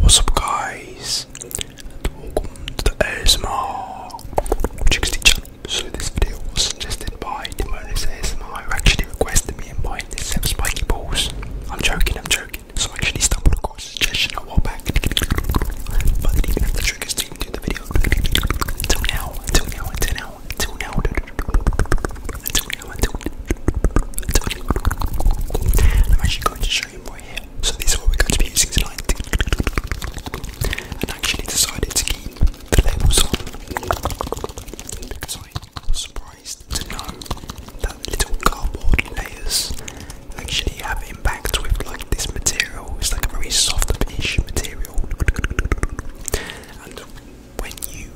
What's up, guys? welcome to the ASMR Chicks channel. So, this video was suggested by Timonis ASMR actually requested me in buying this um, spiky balls. I'm joking, I'm joking. So I actually stumbled across a suggestion a while back. But I didn't to do the video. Until now, until now, until now, until now. Until now, until now. I'm actually going to show you more here. So these are what we're going to be using tonight. And I actually decided to keep the labels on. Because I was surprised to know that little cardboard layers actually have impact with like this material. It's like a very soft-ish material, and when you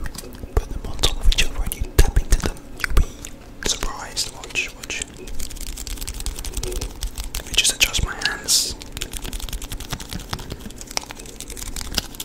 put them on top of each other and you tap into them, you'll be surprised. Watch, watch. Let me just adjust my hands.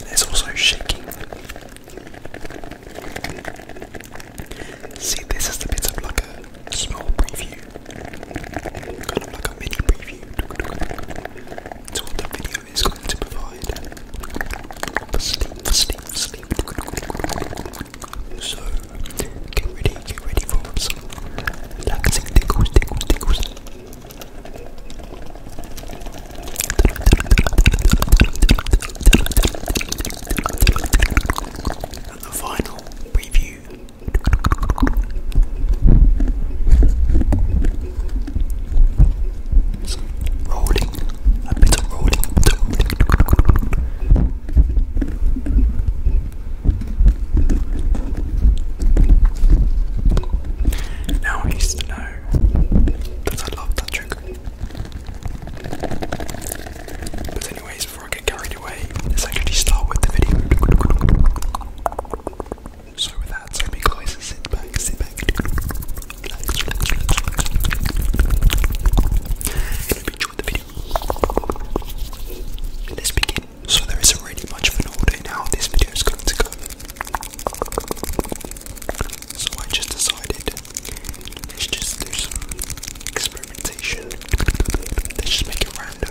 There's also shaking See, this is the bit of like a small preview, kind of like a mini preview to what the video is going to provide for sleep, for sleep, for sleep. So, get ready, get ready for some relaxing tickles, tickles, tickles and the final review. rolling, a bit of rolling, Now I used to know that I love that trigger. But anyways, before I get carried away, let's actually start with the video. So with so be guys, sit back, sit back, and hope the video. Let's begin. So there isn't really much of an order in how this video is going to go. So I just decided let's just do some experimentation. Let's just make it random.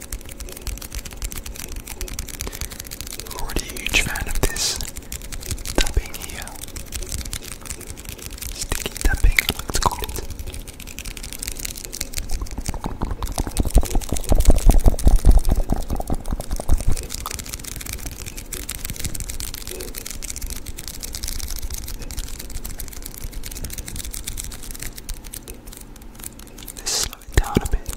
I'm already a huge fan of this tapping here. Sticky tapping, I like to Let's slow it down a bit.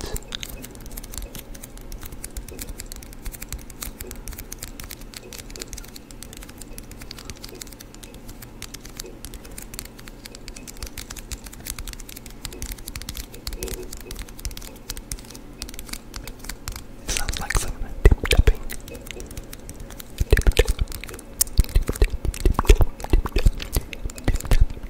Sounds like someone tip tapping. Tip tap. Tip tap. Tip tap. Tip tap.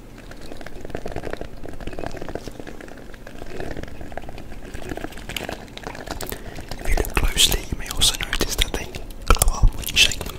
If you look closely, you may also notice that they glow up when you shake them.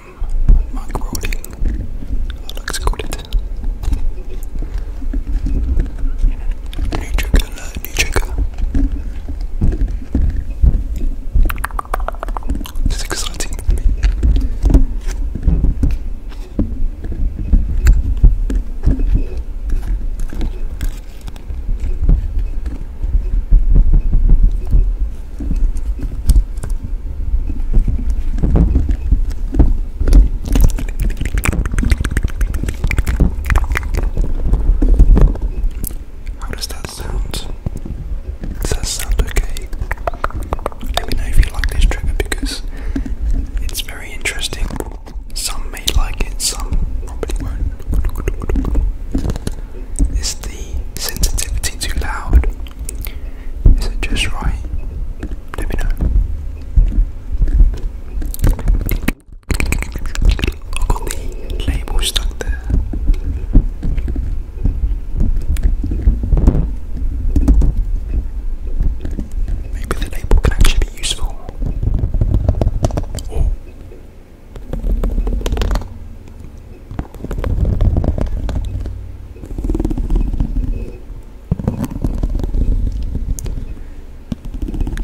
um, monk rolling. Looks good. New trigger alert, exciting how does that sound? Does that sound okay? Let me know if you like this trigger because it's very interesting. Some may like it, some probably won't. Is the sensitivity too loud? Is it just right? Let me know. i got the label stuck Maybe the label can actually be useful.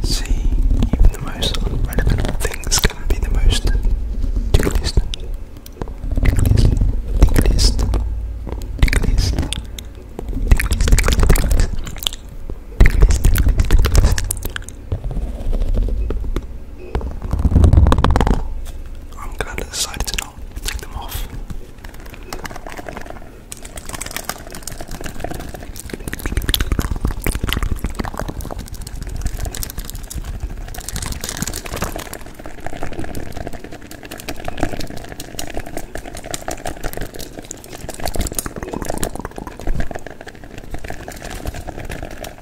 See, even the most relevant things can be the most tickliest, tickliest, tickliest, tickliest, tickliest, tickliest, I'm glad I decided to not take them off.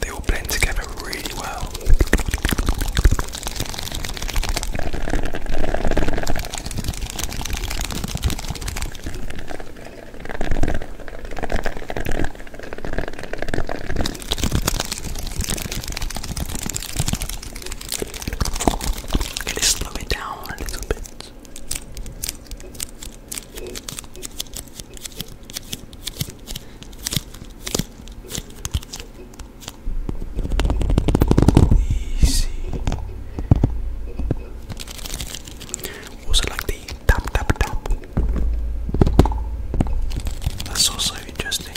They all blend together really well. Can it slow it down a little bit? Easy. Also like the tap tap tap. That's also interesting.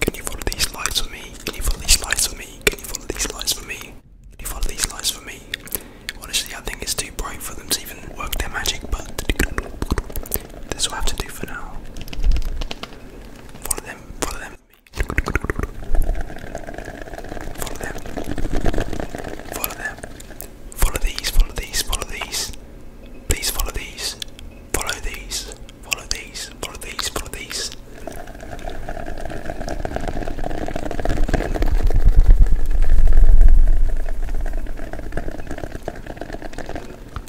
Can you follow these lights for me? Can you follow these lights for me? Can you follow these lights for me? Can you follow these lights for me? Honestly, I think it's too bright for them to even work their magic, but this will have to do for now. Follow them, follow them. Follow them. Follow them. Follow these, follow these, follow these. Please follow these. Follow these, follow these, follow these, follow these.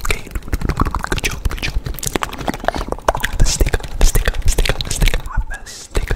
Okay, good job, good job. The sticker, the sticker, the sticker, the sticker, the sticker.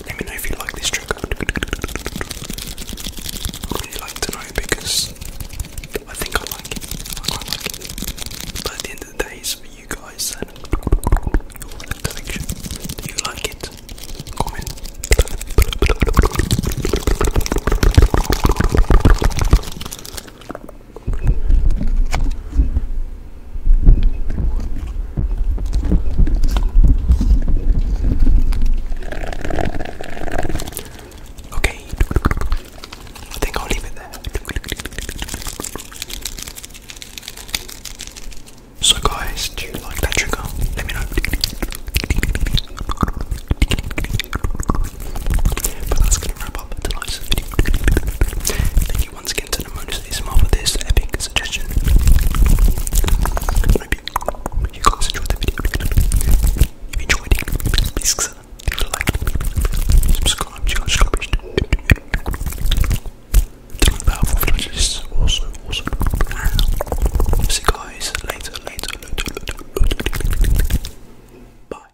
Let me know if you like this trigger. I'd really like to know because I think I like it. I quite like it. But at the end of the day, it's for you guys and your collection. Do you like it? Comment. Okay, I think I'll leave it there. So, guys, do you like that trigger? Let me know. But that's gonna wrap up tonight's video. Thank you once again to Namonis ASMR for this epic suggestion you guys enjoyed the video. If you enjoyed it, please consider leaving a like, subscribe to guys rubbish. Tell me about what this also, also. See you guys later, later, later. Bye.